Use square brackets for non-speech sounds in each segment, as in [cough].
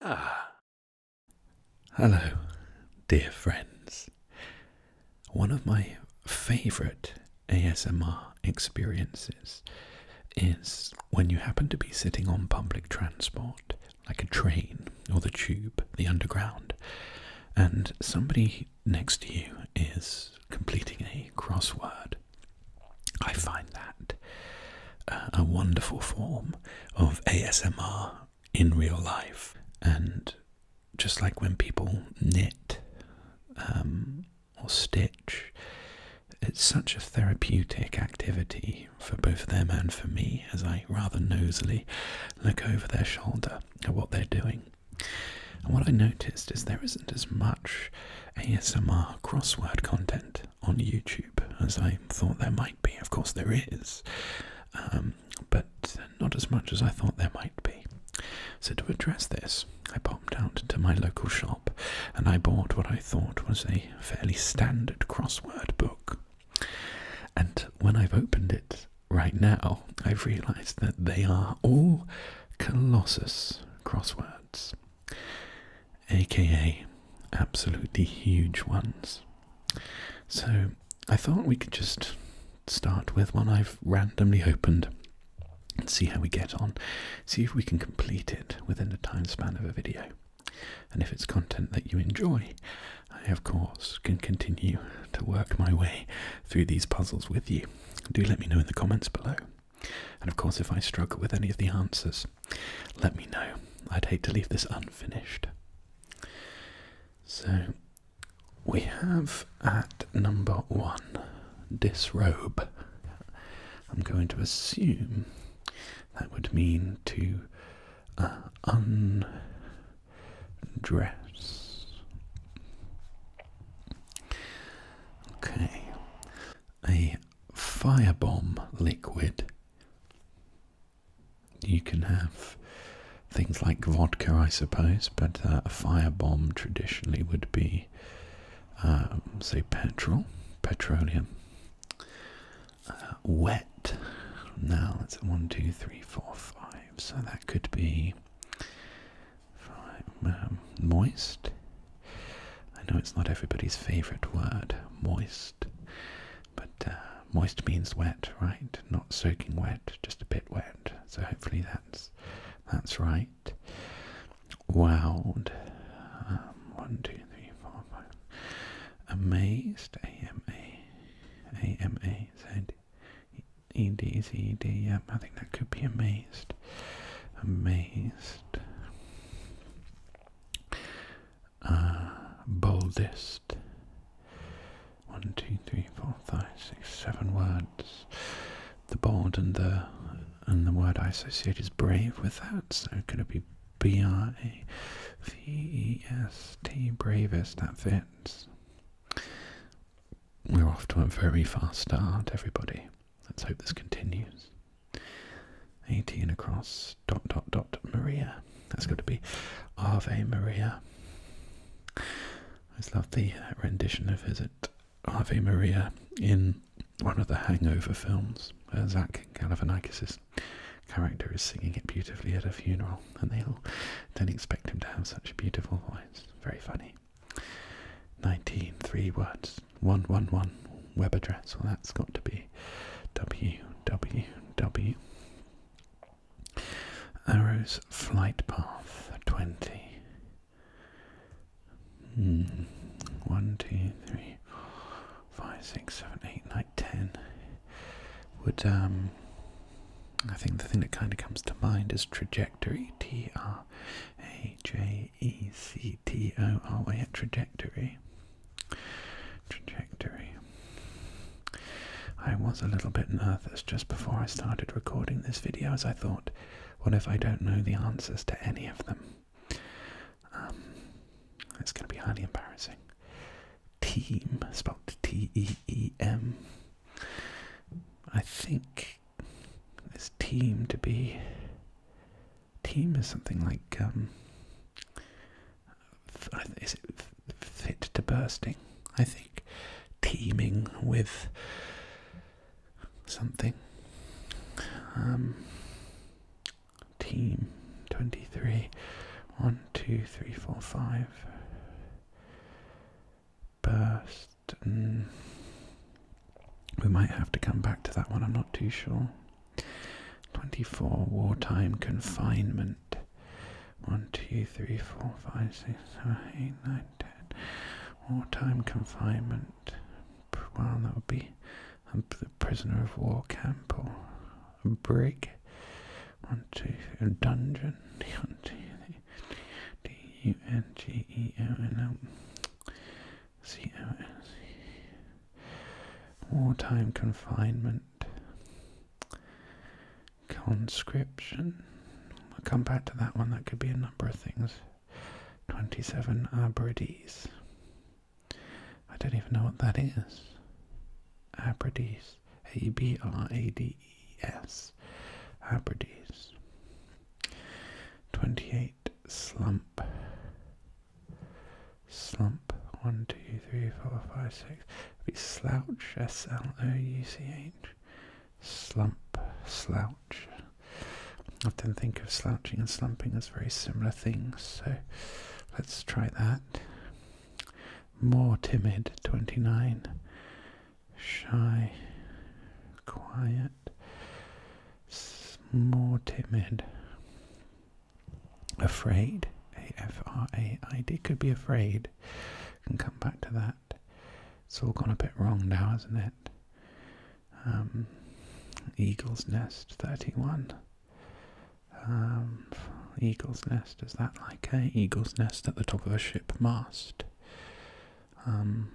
Ah. Hello, dear friends. One of my favourite ASMR experiences is when you happen to be sitting on public transport, like a train or the tube, the underground, and somebody next to you is completing a crossword I find that uh, a wonderful form of ASMR in real life. And just like when people knit um, or stitch, it's such a therapeutic activity for both them and for me as I rather nosily look over their shoulder at what they're doing. And what I noticed is there isn't as much ASMR crossword content on YouTube, as I thought there might be. Of course, there is, um, but not as much as I thought there might be. So, to address this, I popped out to my local shop and I bought what I thought was a fairly standard crossword book. And when I've opened it right now, I've realised that they are all Colossus crosswords aka absolutely huge ones. So I thought we could just start with one I've randomly opened and see how we get on. See if we can complete it within the time span of a video. And if it's content that you enjoy, I of course can continue to work my way through these puzzles with you. Do let me know in the comments below. And of course, if I struggle with any of the answers, let me know. I'd hate to leave this unfinished. So, we have at number one disrobe. I'm going to assume that would mean to uh, undress. Okay, a firebomb liquid. You can have things like vodka, I suppose, but uh, a firebomb traditionally would be, um, say, petrol, petroleum. Uh, wet. Now that's one, two, three, four, five. So that could be five, um, moist. I know it's not everybody's favorite word, moist, but uh, moist means wet, right? Not soaking wet, just a bit wet. So hopefully that's that's right. Wowed. Um, one, two, three, four, five. Amazed. A M A. A M A Z. E D Z D. Yeah, I think that could be amazed. Amazed. Uh, boldest. One, two, three, four, five, six, seven words. The bold and the and the word I associate is brave with that. So could it be B R A V E S T bravest? That fits. We're off to a very fast start, everybody. Let's hope this continues. 18 across, dot, dot, dot, Maria. That's got to be Ave Maria. I just love the uh, rendition of his Ave Maria in one of the Hangover films. Zach Galifianakis' character is singing it beautifully at a funeral, and they all don't expect him to have such a beautiful voice. Very funny. 19, three words. 111 web address. Well, that's got to be www. Arrow's flight path 20. Hmm. 1, 2, 3, 5, 6, 7, 8, 9, 10. Would, um, I think the thing that kind of comes to mind is trajectory. T R A J E C T O R Y trajectory. Trajectory. I was a little bit nervous just before I started recording this video as I thought, what if I don't know the answers to any of them? Um, it's going to be highly embarrassing. Team, spelled T E E M. I think this team to be team is something like um, is it fit to bursting? I think teaming with something. Um, team 23 1 2 3 4 5 burst mm. we might have to come back to that one i'm not too sure 24 wartime confinement 1 2 3 4 5 6 7 8 9 10 wartime confinement well that would be a prisoner of war camp or a brig 1 2 a dungeon [laughs] 1 2 D U N G E O N C O N C. Wartime confinement. Conscription. We'll come back to that one. That could be a number of things. 27 Abrides. I don't even know what that is. Abrides. A B R A D E S. Abrides. 28 Slump. Slump. One, two, three, four, five, six. Be slouch. S L O U C H. Slump. Slouch. I Often think of slouching and slumping as very similar things, so let's try that. More timid. Twenty nine. Shy. Quiet. S more timid afraid. A F R A I D could be afraid. Can come back to that. It's all gone a bit wrong now, isn't it? Um, eagle's nest thirty-one. Um, eagle's nest is that like a eagle's nest at the top of a ship mast? Um,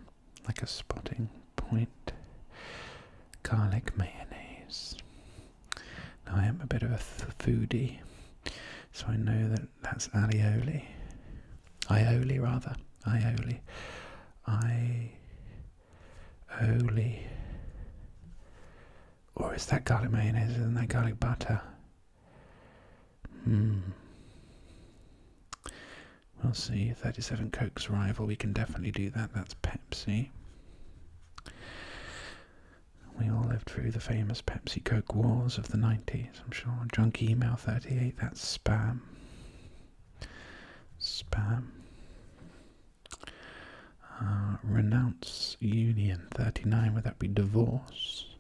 like a spotting point garlic mayonnaise. Now, I am a bit of a foodie, so I know that that's aioli, aioli rather. aioli, aioli. Or is that garlic mayonnaise? Isn't that garlic butter? Hmm. We'll see. 37 Coke's rival. We can definitely do that. That's Pepsi. We all lived through the famous Pepsi Coke wars of the 90s, I'm sure. Junk Email 38, that's spam. Spam. Uh, renounce Union 39, would that be divorce?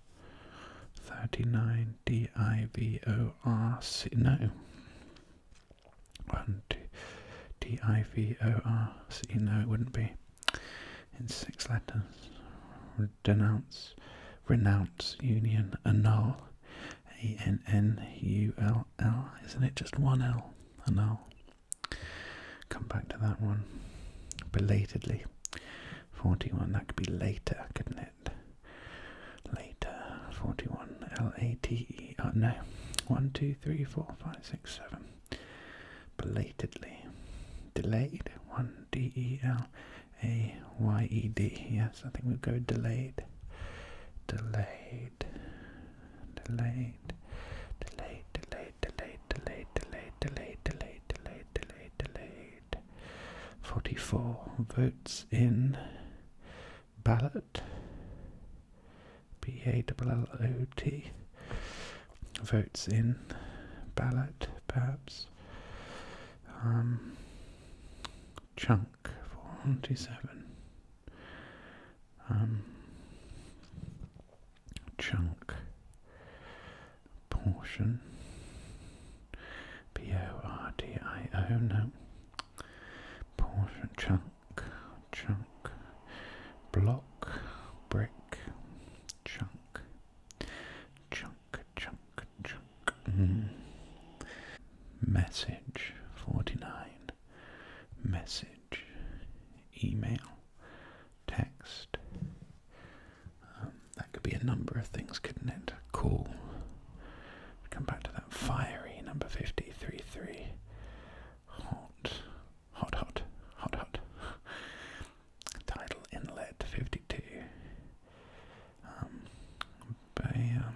39 D I V O R C. No. D I V O R. So you know it wouldn't be. In six letters. Denounce, renounce, union, annul. A N N U L L. Isn't it just one L? Annul. Come back to that one. Belatedly. 41. That could be later, couldn't it? Later. 41. L A T E. Oh, no. 1, 2, two, three, four, five, six, seven. Belatedly. Delayed. One D E L A Y E D. Yes, I think we'll go Delayed. Delayed. Delayed. Delayed. Delayed. Delayed. Delayed. Delayed. Delayed. Delayed. Delayed. Forty-four votes in ballot b-a-l-l-o-t votes in ballot perhaps um, chunk forty-seven. um, chunk portion P o r d i o. no portion chunk chunk, block, brick, chunk, chunk, chunk, chunk. Mm-hmm. Message 49, message, email, text. Um, that could be a number of things, couldn't it? Call. Come back to that fiery number fifty three three. Hot, hot, hot, hot, hot. Tidal Inlet 52. Um, by, um,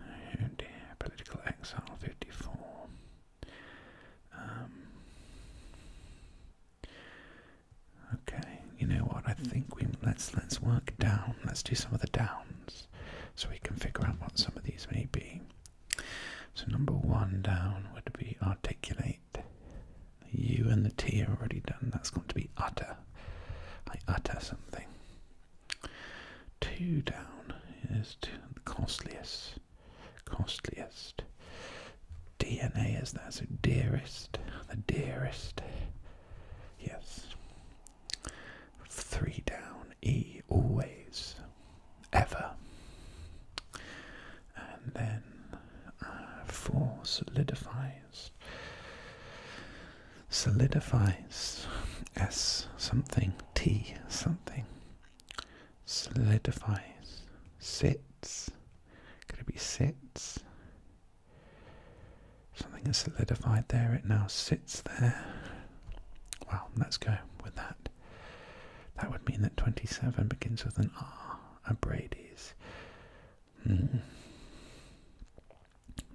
oh dear, Political Exile 54. Um, okay, you know what? I think we let's let's work down. Let's do some of the downs, so we can figure out what some of these may be. So number one down would be articulate. U and the T are already done. That's going to be utter. I utter something. Two down is the costliest. Costliest. DNA is that, so dearest. The dearest. Yes. Three down E always, ever. And then uh, four solidifies. Solidifies S something, T something. Solidifies, sits. Could it be sits? Something has solidified there, it now sits there. Well, let's go with that. That would mean that 27 begins with an R, a Brady's. Hmm.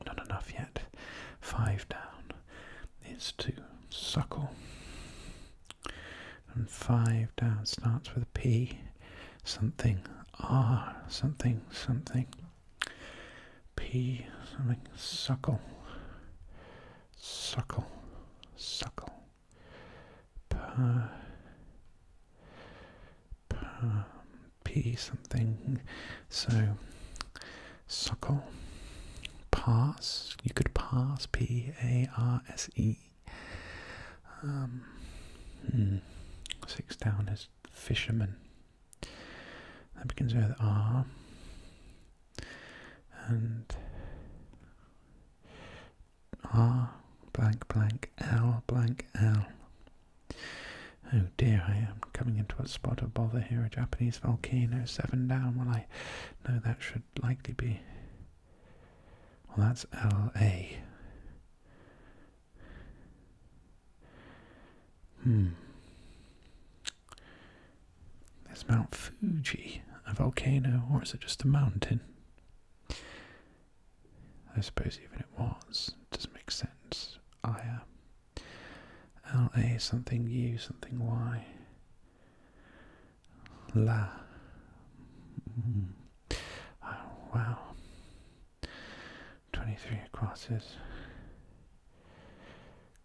Not enough yet. Five down is to suckle. And five down starts with a P, something R, something, something. P something suckle suckle suckle pa, pa, P something so suckle pass you could pass P A R S E um hmm. six down is fisherman that begins with R and R blank blank L blank L. Oh dear, I am coming into a spot of bother here. A Japanese volcano, seven down. Well, I know that should likely be. Well, that's L.A. Hmm. Is Mount Fuji a volcano or is it just a mountain? I suppose even it was, it doesn't make sense. Aya. LA something U something Y. La. Mm. Oh, wow. 23 crosses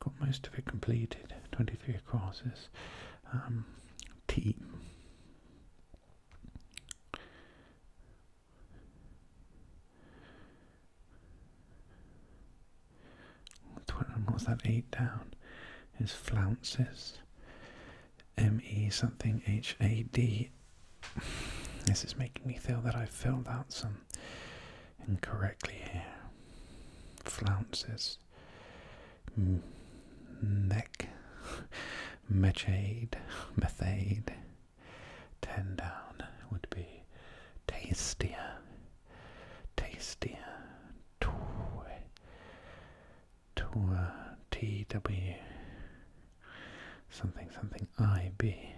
got most of it completed, 23 courses. T. Um, team. What's that? Eight down is flounces. M E something H A D. This is making me feel that I've filled out some incorrectly here. Flounces, M neck, [laughs] methade, [laughs] methade. Ten would be tastier, tastier. Two, two, T W. Something something I B.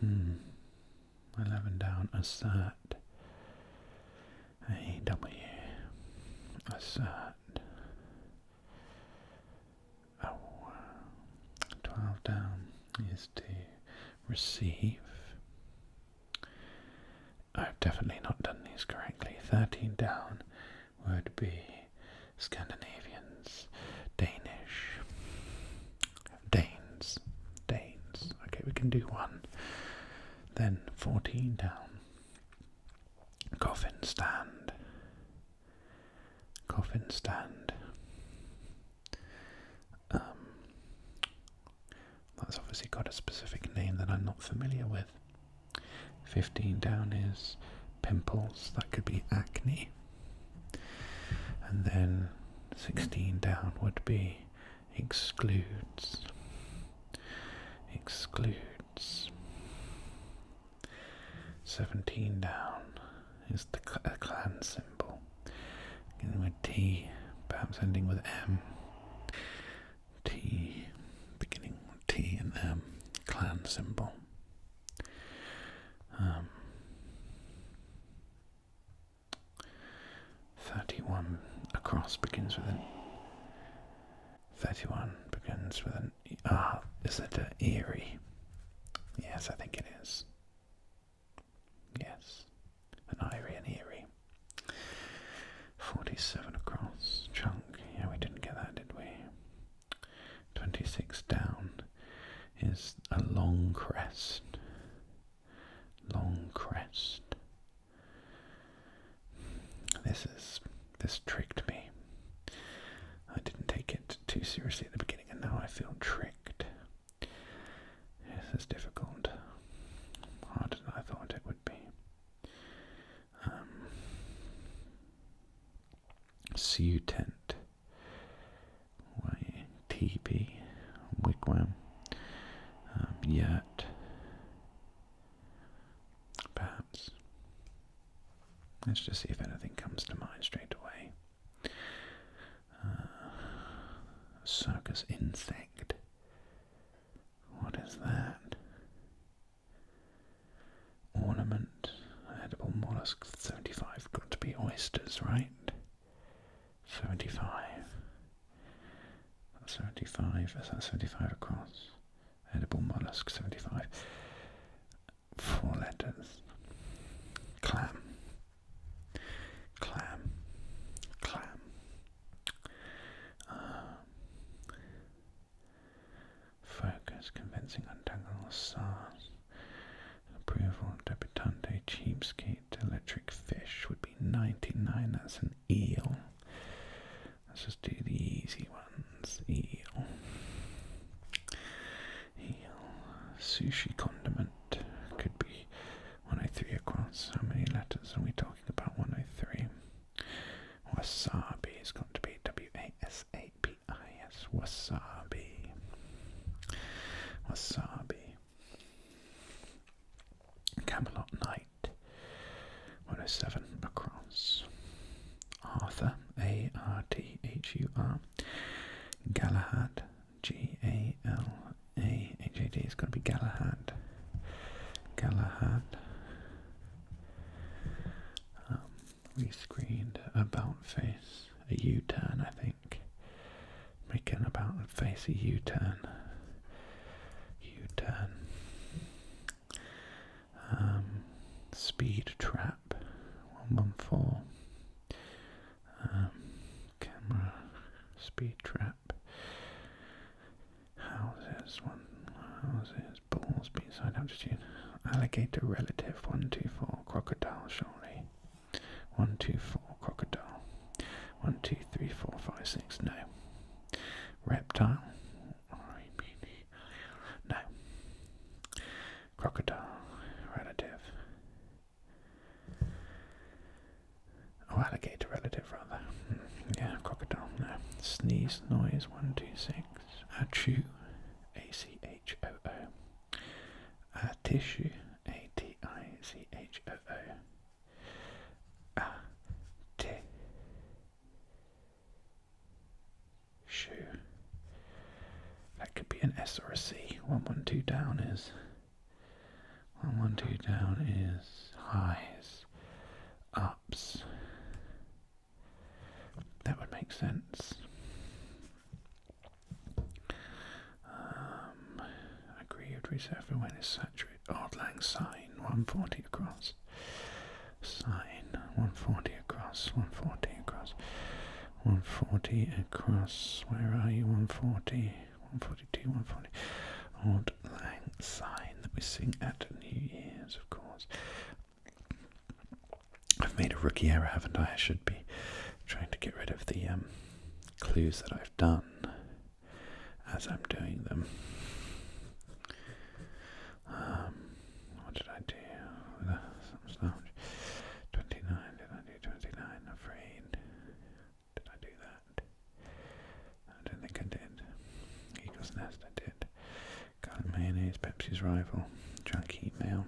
Hmm. 11 down. Assert. A-W. Assert. Oh. 12 down is to receive. I've definitely not done these correctly. 13 down would be Scandinavians, Danish, Danes. Danes. Okay, we can do one. Then 14 down. Coffin stand. Coffin stand. Um, that's obviously got a specific name that I'm not familiar with. 15 down is pimples, that could be acne. And then 16 down would be excludes excludes 17 down is the clan symbol with T perhaps ending with M T beginning with T and M clan symbol um, Thirty-one across begins with an. Thirty-one begins with an. Ah, is it an eerie? Yes, I think it is. Yes, an eerie and eerie. 47 across, chunk, yeah we didn't get that did we? 26 down is a long crest, long crest. This is this tricked me. I didn't take it too seriously at the beginning, and now I feel tricked. This is difficult, harder than I thought it would be. Um, See you, tent teepee, wigwam, yet um, yurt, Let's just see if anything comes to mind straight away. Uh, circus insect. What is that? Ornament, edible mollusk, 75, got to be oysters, right? 75. That's 75. Is that 75 across? Edible mollusk 75. Four letters. Clam. Clam. Clam. Um, focus. Convincing untangle stars. Approval. Debutante. Cheapskate. Electric fish would be 99. That's an eel. Let's just do the easy ones. Eel. Eel. Sushi condiment could be 103 across. How many letters are we talking about? 103. Wasabi is going to be W A S A B I S. Wasabi. Wasabi. Camelot Knight, 107 across. Arthur, A R T H U R. Galahad, G A L A H A D. It's going to be Galahad. Galahad. Um, we screened About Face, a U turn, I think. Making about and face a U-turn. U-turn. Um, speed trap. 114. Um, camera. Speed trap. Houses. One. Houses. Balls. Beside altitude. Alligator relative. 124. Crocodile surely. One, two, four, crocodile. One, two, three, four, five, six, no. Reptile. No. Crocodile. Relative. Oh, alligator relative, rather. Hmm. Yeah, crocodile, no. Sneeze, noise, one, two, six. Achoo. A c h o. A tissue. A T I C H O O. A T. Shoe. That could be an S or a C. One one two down is. One one two down is highs, ups. That would make sense. Um, agree with reserved for when is saturated. Odd lang sign, 140 across. Sign, 140 across, 140 across, 140 across. Where are you? 140, 142, 140. Odd lang sign that we sing at New Year's, of course. I've made a rookie error, haven't I? I should be trying to get rid of the um, clues that I have done as I'm doing them. Um, what did I do? 29, did I do 29? Afraid. Did I do that? I don't think I did. Eagle's Nest, did. Garlic Mayonnaise, Pepsi's Rival, Junk Email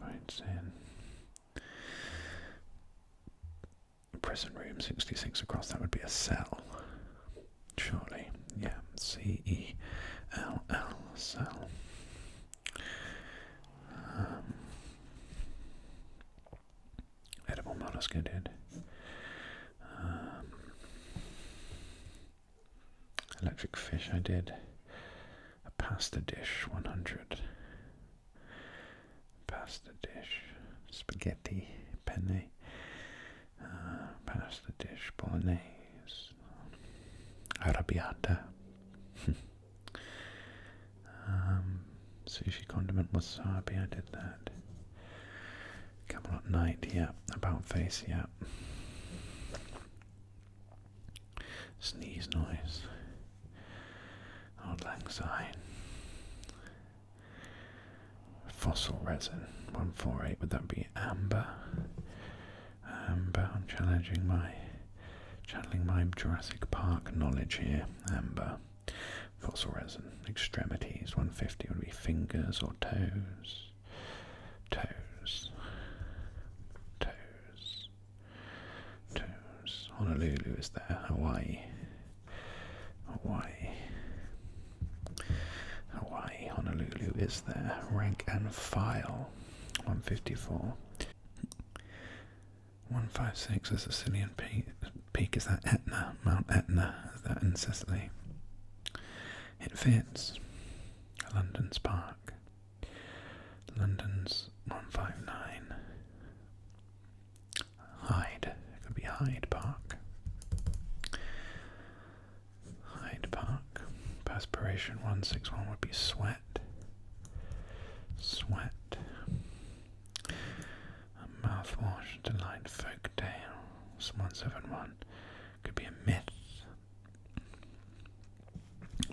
right, Zen. Prison room 66 across, that would be a cell. Surely, yeah, C E L L cell. Um, edible mollusk, I Electric fish, I did. A pasta dish, 100. Pasta dish, spaghetti, penne. Uh, pasta dish, bolognese. Arrabbiata. [laughs] um, sushi condiment wasabi, I did that. Camelot night, yeah. About face, yeah. Sneeze noise. Old Lang Syne. Fossil resin. 148. Would that be amber? Amber. I'm challenging my channeling my Jurassic Park knowledge here. Amber. Fossil resin. Extremities. 150 would be fingers or toes. Toes. Toes. Honolulu is there. Hawaii. Hawaii. Hawaii. Honolulu is there. Rank and file. 154. 156. The Sicilian peak. Is that Etna? Mount Etna. Is that in Sicily? It fits. London's Park. London's 159. Hyde. It could be Hyde Park. Hyde Park. Perspiration 161 would be sweat. Sweat. mouthwash to light folk tale. 171 could be a myth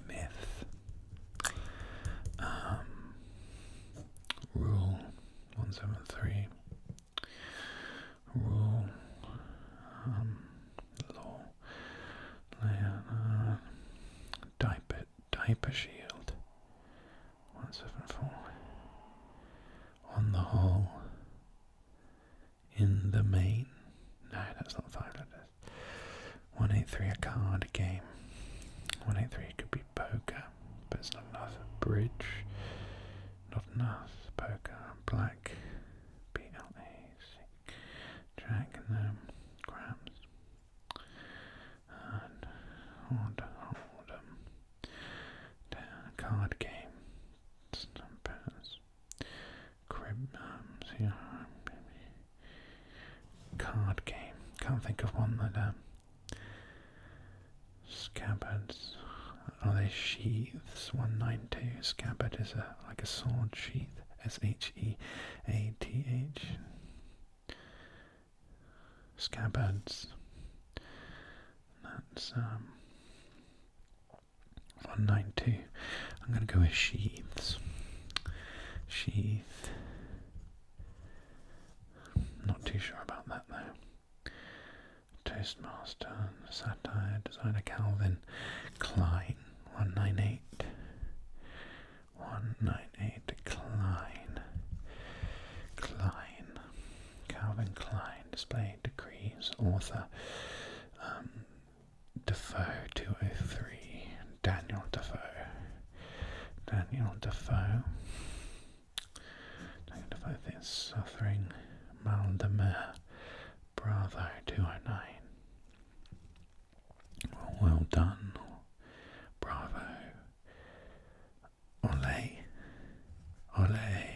myth, um, rule 173, rule, um, law, diaper, diaper shield, 174, on the whole, in the main. No, that's not five 183 a card game. 183 could be poker, but it's not enough. Bridge, not enough. Poker, black, BLA, Jack, grams. And hold, hold, um, down, card game, stump crib card game. Can't think of one that um, scabbards. Are they sheaths? One nine two. Scabbard is a like a sword sheath. S H E A T H. Scabbards. That's um, 192. I'm going to go with sheaths. Sheath. Not too sure about that though. Toastmaster, satire, designer Calvin Klein. 198. 198 Klein. Klein. Calvin Klein. Display degrees. Author. Um, Defoe 203. Daniel Defoe. Daniel Defoe. Daniel Defoe is suffering. Maldemer. Bravo 209. Well, well done. Bravo. Ole. Ole.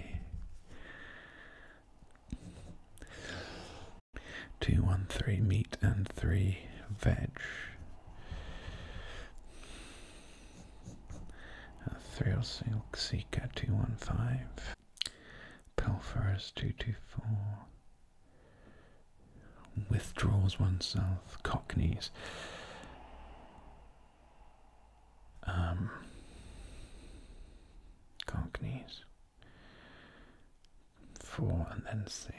Two, one, three meat and three veg. A Thrill Silk Seeker 215. Pilferers 224. Withdraws oneself. Cockneys. Um, cockneys. Four and then six.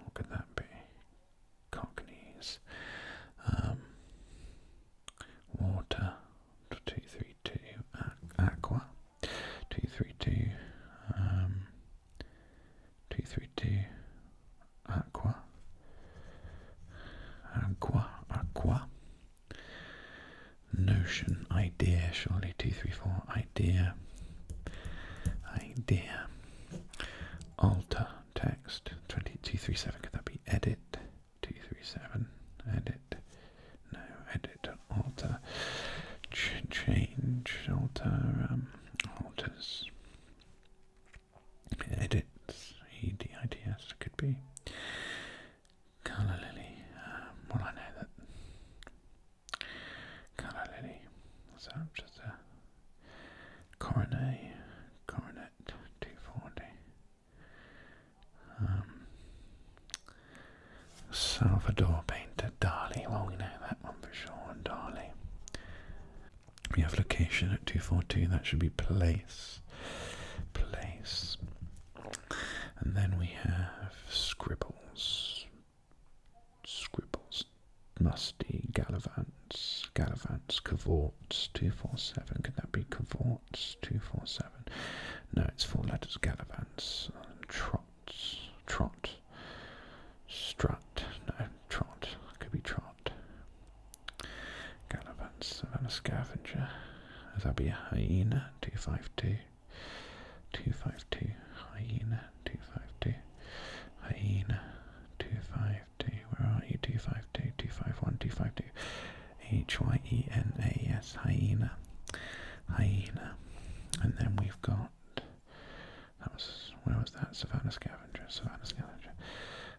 What could that be? Cockneys. Um, water. Two, three, two. Aqua. Two, three, two. Um, two, three, two. Aqua. Aqua. Aqua. Notion. Idea. Surely. Two, three, four idea, idea, alter text, 2237, could that be edit, 237, edit, no, edit, alter, change, alter, um, alters, edits, E-D-I-T-S, could be, Colour Lily. Um, well, I know that Colour lily. So just a coronet, coronet 240. Um, Salvador painter Dali. Well, we know that one for sure. Dali. We have location at 242. That should be place. Place. And then we have scribbles scribbles, musty, gallivants, gallivants, cavorts, 247. Could that be cavorts, 247? No, it's four letters, gallivants, um, trots, trot, strut, no, trot, could be trot. Gallivants, Savannah Scavenger, that be a hyena, 252. 252, hyena, 252, hyena, 252, where are you? 252, 251, 252, H-Y-E-N-A, hyena, And then we've got, that was, where was that? Savannah Scavenger, savanna Scavenger.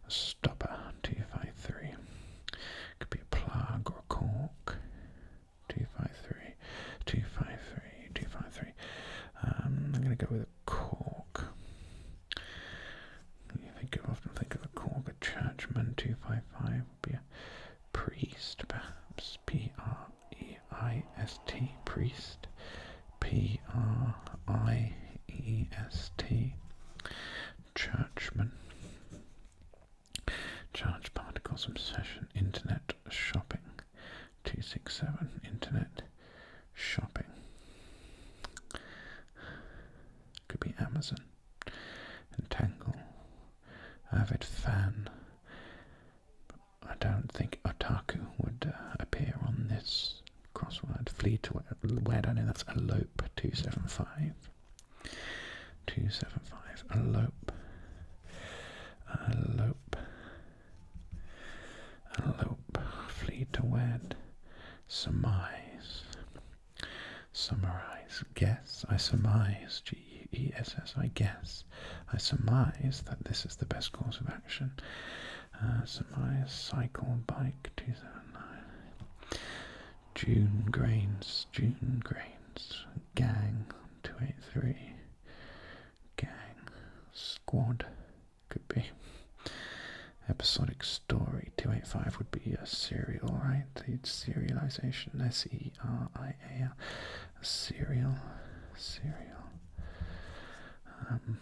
stopper, 253. Could be a plug or a cork two five three, two five three, two five three. Um, I'm going to go with a cork. You think you often think of a cork, a churchman. Two five five would be a priest, perhaps. P R E I S T, priest. P R I E S T, churchman. Charge particles, obsession, internet, shopping. 267 internet shopping. Could be Amazon, and Tangle Avid Fan. I don't think Otaku would uh, appear on this crossword. Flee to where, I know that's elope 275. 275, elope. Alope. Alope. Flee to wed. Surmise. Summarize. Guess. I surmise. G E S S. I guess. I surmise that this is the best course of action. Uh, surmise. Cycle. Bike. 279. June grains. June grains. Gang. 283 gang, squad, could be. Episodic story 285 would be a serial, right? The serialization S E R I A L. A serial, serial. Um,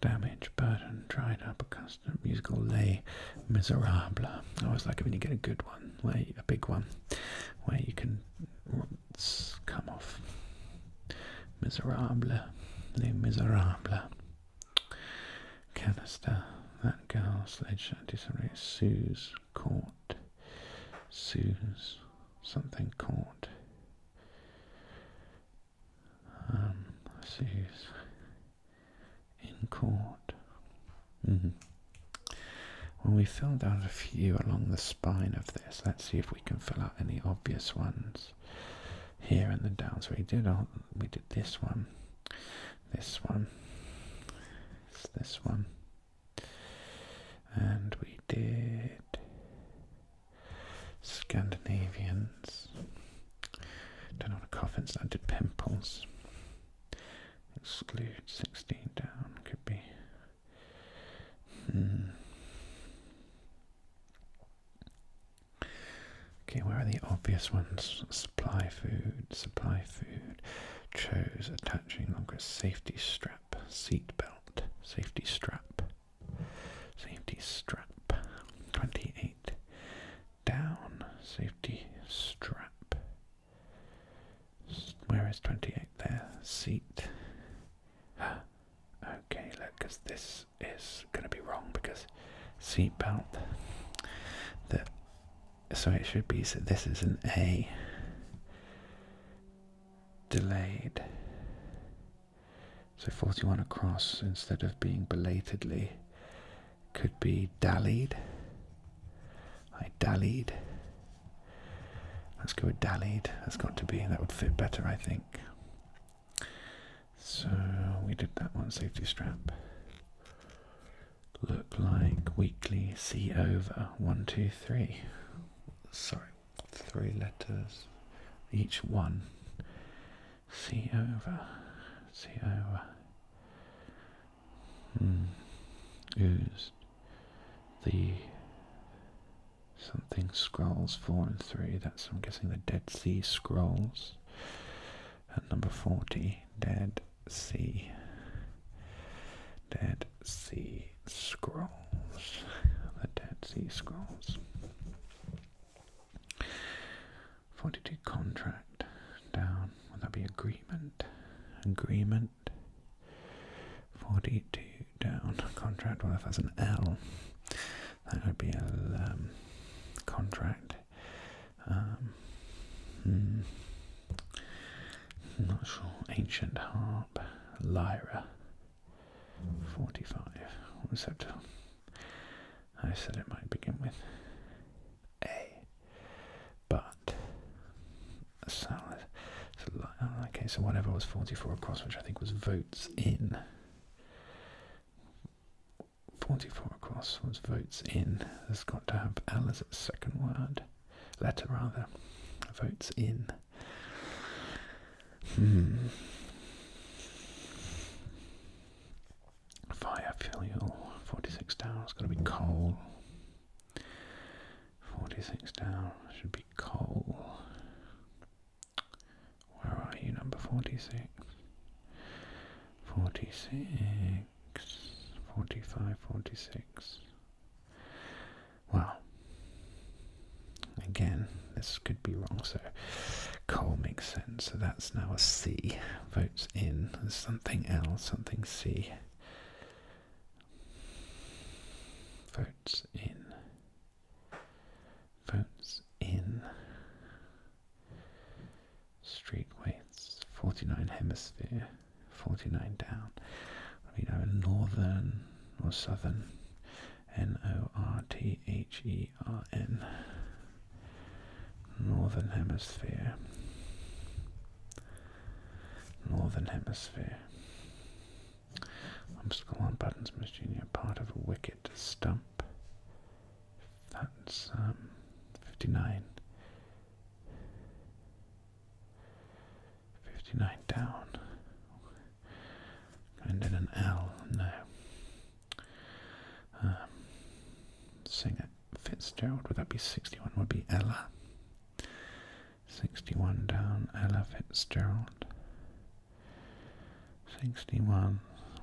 damage, burden, dried up, accustomed, musical, lay, miserable. I was like it when you get a good one, lay, a big one, where you can What's come off. Miserable, Les Miserables. Canister, that girl, sledge, anti Sue's court. Sue's something court. Um, Sue's in court. Mm-hmm. When we filled out a few along the spine of this. Let's see if we can fill out any obvious ones here in the downs. We did all, we did this one, this one, this one, and we did Scandinavians. Don't know what coffin's. I did pimples. Exclude 16 down could be. Hmm. Okay, where are the obvious ones? Supply food, supply food. Chose attaching longer safety strap, seat belt, safety strap, safety strap. 28 down, safety strap. Where is 28 there? Seat. [gasps] Okay, look, because this is going to be wrong because seatbelt. That so it should be. So this is an A. Delayed. So 41 across instead of being belatedly could be dallied. I dallied. Let's go with dallied. That's got to be. That would fit better, I think. So we did that one. Safety strap. Look like weekly C over one, two, three. Sorry, three letters. Each one. C over. C over mm, The something scrolls four and three. That's I'm guessing the Dead Sea Scrolls. At number forty, Dead Sea. Dead Sea Scrolls. The Dead Sea Scrolls. 42 contract down. Would that be agreement? Agreement. Forty-two down contract. Well, if an L, that would be a um, contract. Um, hmm. not sure. Ancient harp, lyra. Forty-five receptor. I said it might begin with A. But a So, oh, okay, so whatever was 44 across, which I think was votes in. 44 across was votes in. That's got to have L as second word. Letter, rather. Votes in. Hmm. Fire, fuel, 46 down. It's going to be coal. 46 down should be coal. Where are you, number 46? 46, 46. Well, again, this could be wrong, so coal makes sense. So that's now a C. Votes in. something else, something C. Votes in. Votes in. Street weights 49 hemisphere, 49 down. What do we know? Northern or southern? N O R T H E R N. Northern hemisphere. Northern Hemisphere. Obstacle on buttons Miss Junior. part of a wicket stump. That's um, 59. 59 down. And then an L, no. Um, singer Fitzgerald, would that be 61? Would be Ella. 61 down, Ella Fitzgerald. 61,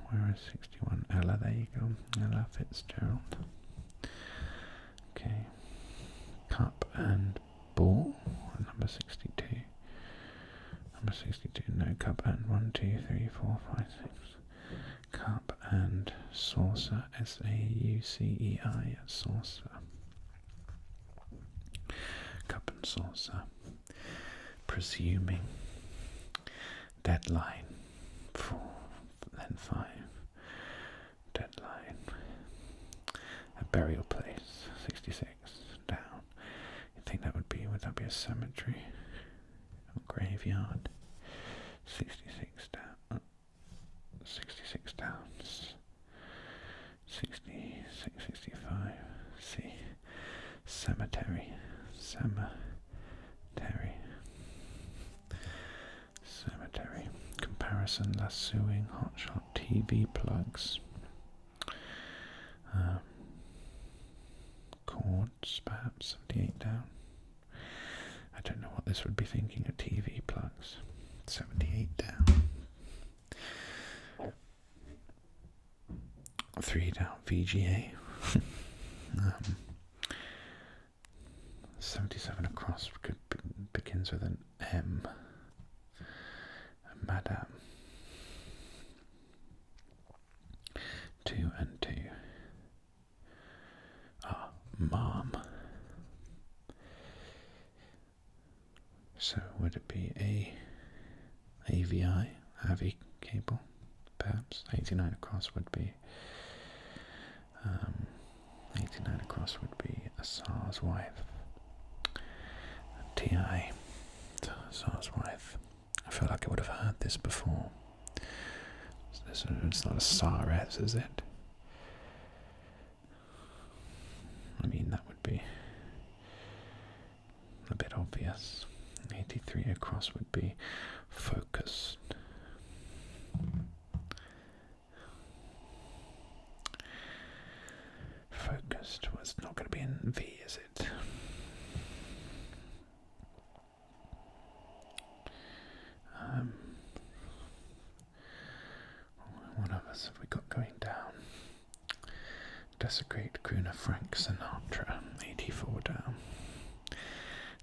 where is 61? Ella, there you go, Ella Fitzgerald. Okay, cup and ball, number 62. Number 62, no cup and one, two, three, four, five, six. Cup and saucer, S A U C E I, saucer. Cup and saucer, presuming deadline four, then five, deadline, a burial place, 66, down. You think that would be, would that be a cemetery? Or graveyard, 66 down. 66 downs, 66, 65, see, cemetery, cemetery, cemetery, comparison, lassoing, hotshot, TV plugs, um, chords, perhaps, 78 down. I don't know what this would be thinking of TV plugs. 78 down. Three down VGA. [laughs] Um, 77 across begins with an M. Madame. Two and two. Ah, mom. So would it be a AVI, AVI cable, perhaps? 89 across would be, um, 89 across would be a SARS wife. TI, SARS wife. I feel like I would have heard this before. It's not a SARS, is it? I mean, that would be a bit obvious. 83 across would be focused. Focused was not going to be in V, is it? Um, what others have we got going down? Desecrate crooner Frank Sinatra, 84 down.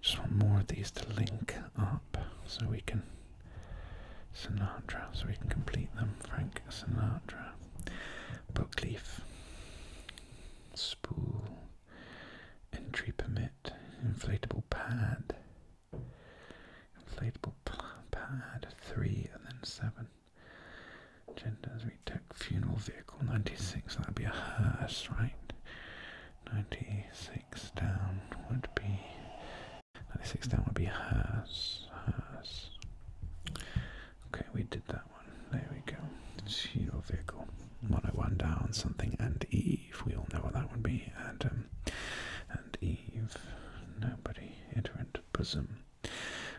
Just want more of these to link up so we can. Sinatra, so we can complete them. Frank Sinatra, book leaf, Spool, Entry Permit, Inflatable Pad. Inflatable pad, three and then seven. Genders, we took funeral vehicle, 96, that'd be a hearse, right? 96 down would be, 96 down would be hearse, hearse. Okay, we did that one, there we go. Funeral vehicle, 101 down, something and Eve, we all know what that would be, um, and Eve. Nobody. Iterant. Bosom.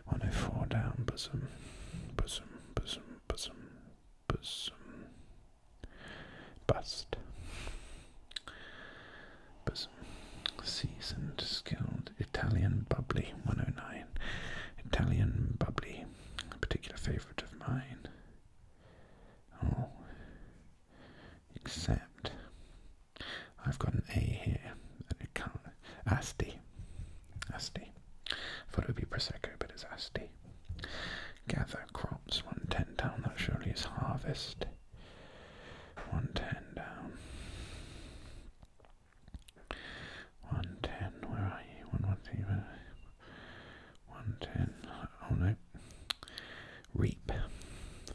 104 down. Bosom. Bosom. Bosom. Bosom. Bosom. Bust. Bosom. Seasoned. Skilled. Italian bubbly. 109. Italian bubbly. A particular favourite of mine. Oh. Except I've got an A here and it can't. Asti. Asti. Thought it would be Prosecco, but it's Asti. Gather crops, 110 down, that surely is harvest. 110 down. 110, where are you? 110, 110. oh no, Reap.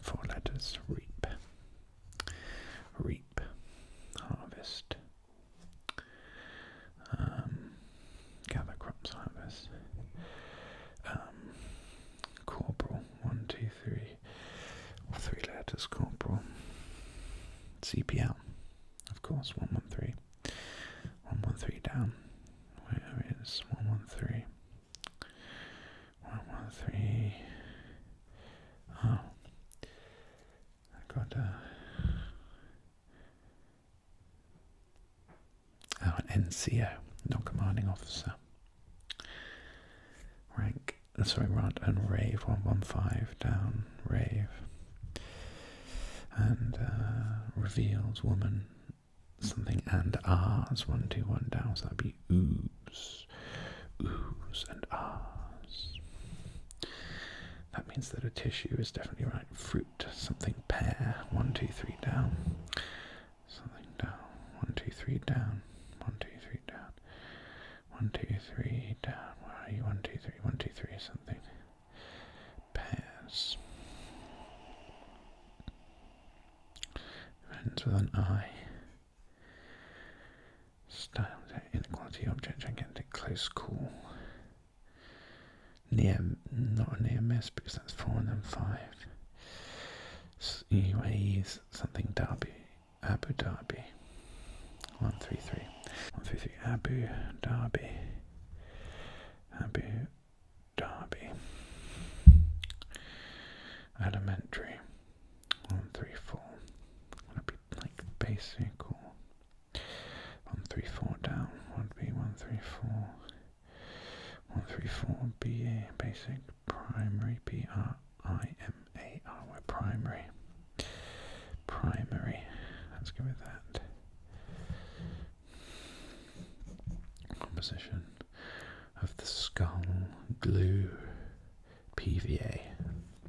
Four letters. Reap. Reap. Harvest. Um, gather crops, harvest. Um, corporal. One, two, three. three letters. Corporal. CPL. Of course, 113. 113 down. Where is 113? one, one, three. Oh, I got uh, oh, a. NCO, not commanding officer. Rank, uh, sorry, Rant and Rave 115 down, Rave. And uh, reveals woman something and R's. One, two, one down. So that'd be oohs, oohs and R's. That means that a tissue is definitely right. Fruit, something pear. One, two, three down. Something down. One, two, three down. One, two, three down. One, two, three down. Where are you? One, two, three. One, two, three. Something. Pears. It ends with an I. Style inequality object gigantic close call. Near not an EMS because that's four and five. UAE's something Dhabi Abu Dhabi. One three three. One three three Abu Dhabi. Abu Dhabi. Elementary one, three, four. Would be like basic or one, three, four down? One be one, three, four. One, three, four. BA basic primary. B R primary. Primary. Let's go with that. Composition of the skull glue PVA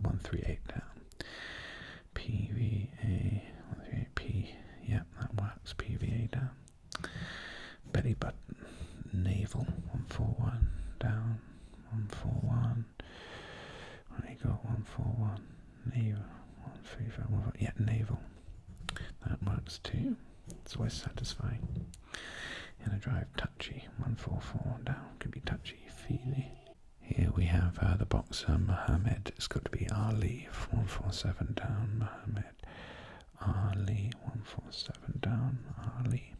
138 down. PVA 138P, Yep, that works. PVA down. Belly button, navel 141 down, 141. There got 141, navel, 135, 141. yet navel. That works too. It's always satisfying. In a drive, touchy, 144 down, could be touchy-feely. Here we have uh, the boxer Muhammad. It's got to be Ali, 147 down, Muhammad. Ali, 147 down, Ali.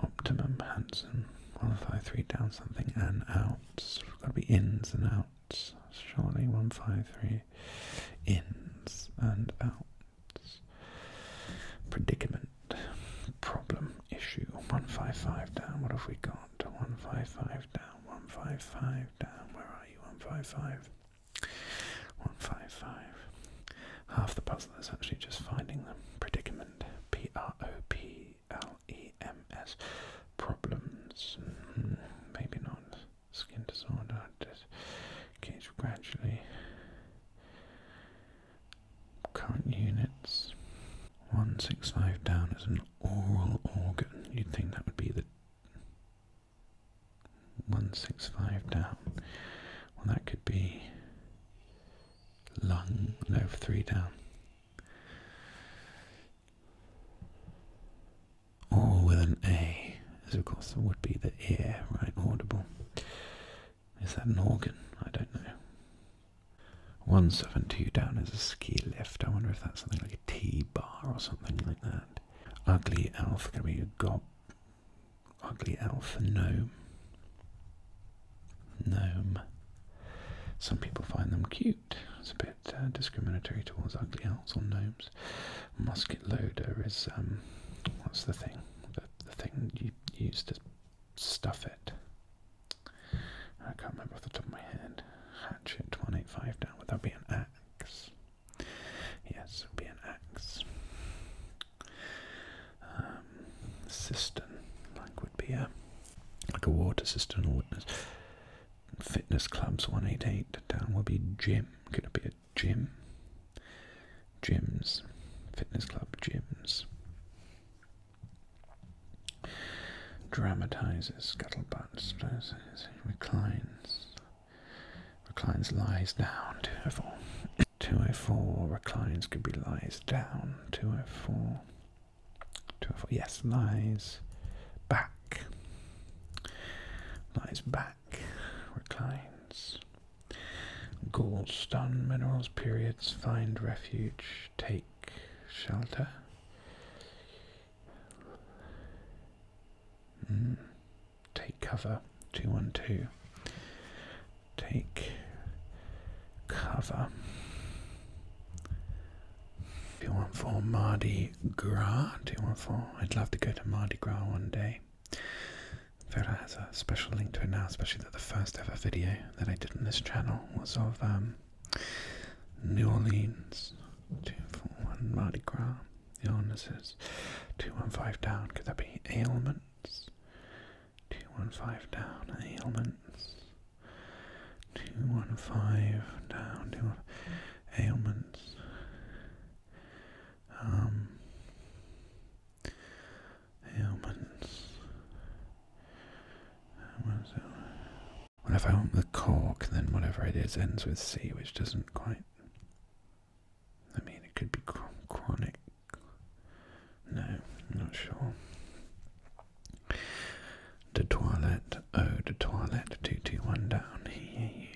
optimum, handsome, 153 down something, and out. got to be ins and outs. Surely 153 ins and outs predicament, problem, issue. 155 down, what have we got? 155 down, 155 down, where are you? 155. 155. Half the puzzle is actually just finding them. Predicament, P R O P L E M S. Problems, hmm, maybe not skin disorder that gradually current units 165 down is an oral organ you'd think that would be the 165 down well that could be lung no 3 down all with an A is of course there would be the ear, right? Audible. Is that an organ? I don't know. 172 down is a ski lift. I wonder if that's something like a T bar or something like that. Ugly elf can be a gob. Ugly elf, gnome. Gnome. Some people find them cute. It's a bit uh, discriminatory towards ugly elves or gnomes musket loader is um, what's the thing? The, thing you use to stuff it. I can't remember off the top of my head. Hatchet one eight five down. Would that be an axe? Yes, it would be an axe. Um, cistern, like would be a like a water cistern or fitness clubs one eight eight down would be gym. Could it be a gym. Gyms. Fitness club gyms. Dramatizes, scuttlebutts, reclines. Reclines lies down, 204. 204, reclines could be lies down, 204. 204, yes, lies back. Lies back, reclines. Goldstone minerals periods find refuge, take shelter. Take cover, 212. Take cover. Two one four Mardi Gras, 214. I'd love to go to Mardi Gras one day. Vera has a special link to it now, especially that the first ever video that I did on this channel was of um, New Orleans, 241 Mardi Gras, is 215 down, could that be ailments? 215 down, ailments, 215 down, two, ailments. Um, Humans. Well, if I want the cork, then whatever it is ends with C, which doesn't quite. I mean, it could be chronic. No, not sure. De toilette, oh, the toilet. 221 down. here.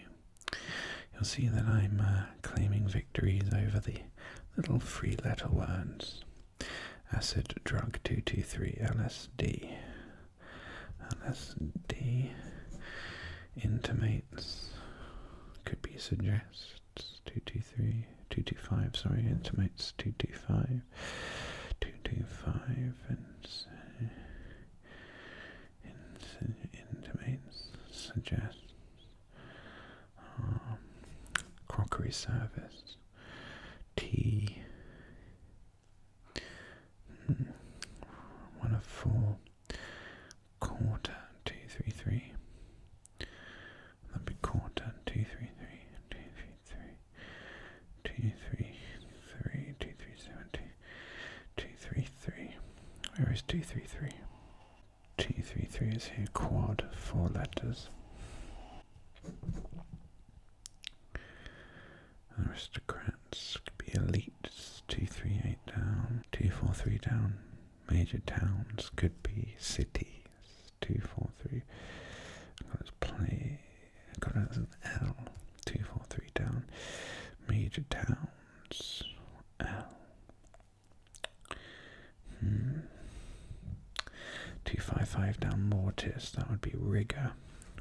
You'll see that I'm uh, claiming victories over the little free letter words acid drug 223 LSD. LSD intimates, could be suggests 223, 225, sorry, intimates 225, 225, and. Uh, intimates, suggests um, crockery service, tea, hmm. one of four, quarter, two, three, three. That'd be quarter, two, three, three, two, three, three, two, three, three, two, three, seven, two, two, three, three. Where is two, three, three? T33 is here, quad, four letters. Aristocrats could be elites, Two three eight 38 down, t down. Major towns could be cities, Two four three. 43 i got an L, T43 down. Major towns, L. Hmm. 255 down mortis, that would be rigor.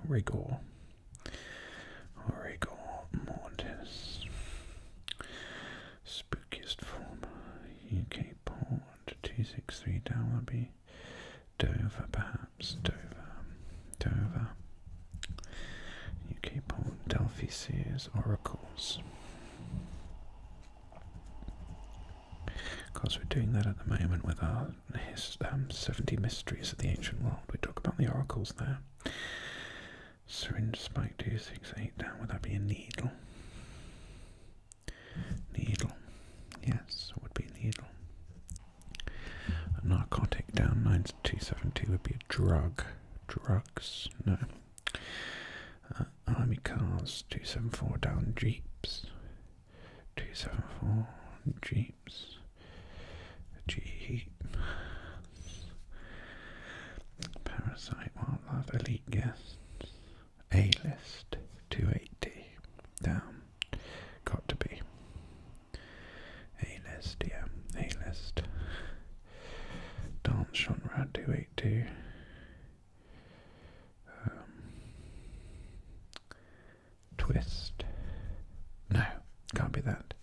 Rigor. Rigor mortis. Spookiest form. UK port. 263 down would be Dover, perhaps. Dover. Dover. UK port. Delphi Sears. Oracles. Because we're doing that at the moment with our um, 70 Mysteries of the Ancient World. We talk about the oracles there. Syringe spike 268 down. Would that be a needle? Needle. Yes, it would be a needle. A narcotic down nine 9272 would be a drug. Drugs? No. Uh, army cars, 274 down jeeps. 274 jeeps. Jeep. Parasite wildlife elite guests. A list 280 down. Got to be. A list, yeah. A list. Dance genre 282. Um, twist. No, can't be that.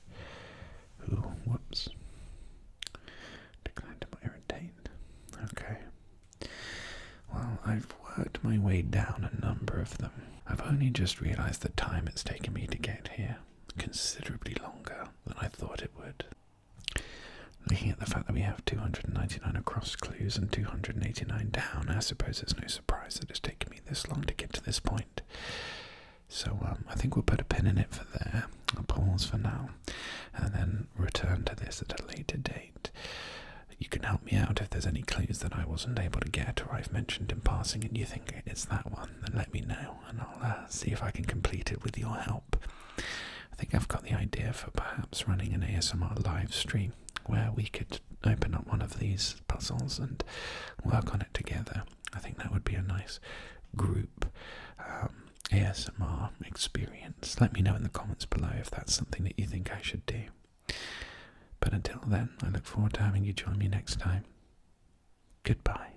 whoops. Decline to irritate. Okay. Well, I've worked my way down a number of them. I've only just realized the time it's taken me to get here. Considerably longer than I thought it would. Looking at the fact that we have 299 across clues and 289 down, I suppose it's no surprise that it's taken me this long to get to this point. So um, I think we'll put a pin in it for there, a pause for now, and then return to this at a later date. You can help me out if there's any clues that I wasn't able to get or I've mentioned in passing and you think it's that one, then let me know and I'll uh, see if I can complete it with your help. I think I've got the idea for perhaps running an ASMR live stream where we could open up one of these puzzles and work on it together. I think that would be a nice group um, ASMR experience. Let me know in the comments below if that's something that you think I should do. But until then, I look forward to having you join me next time. Goodbye.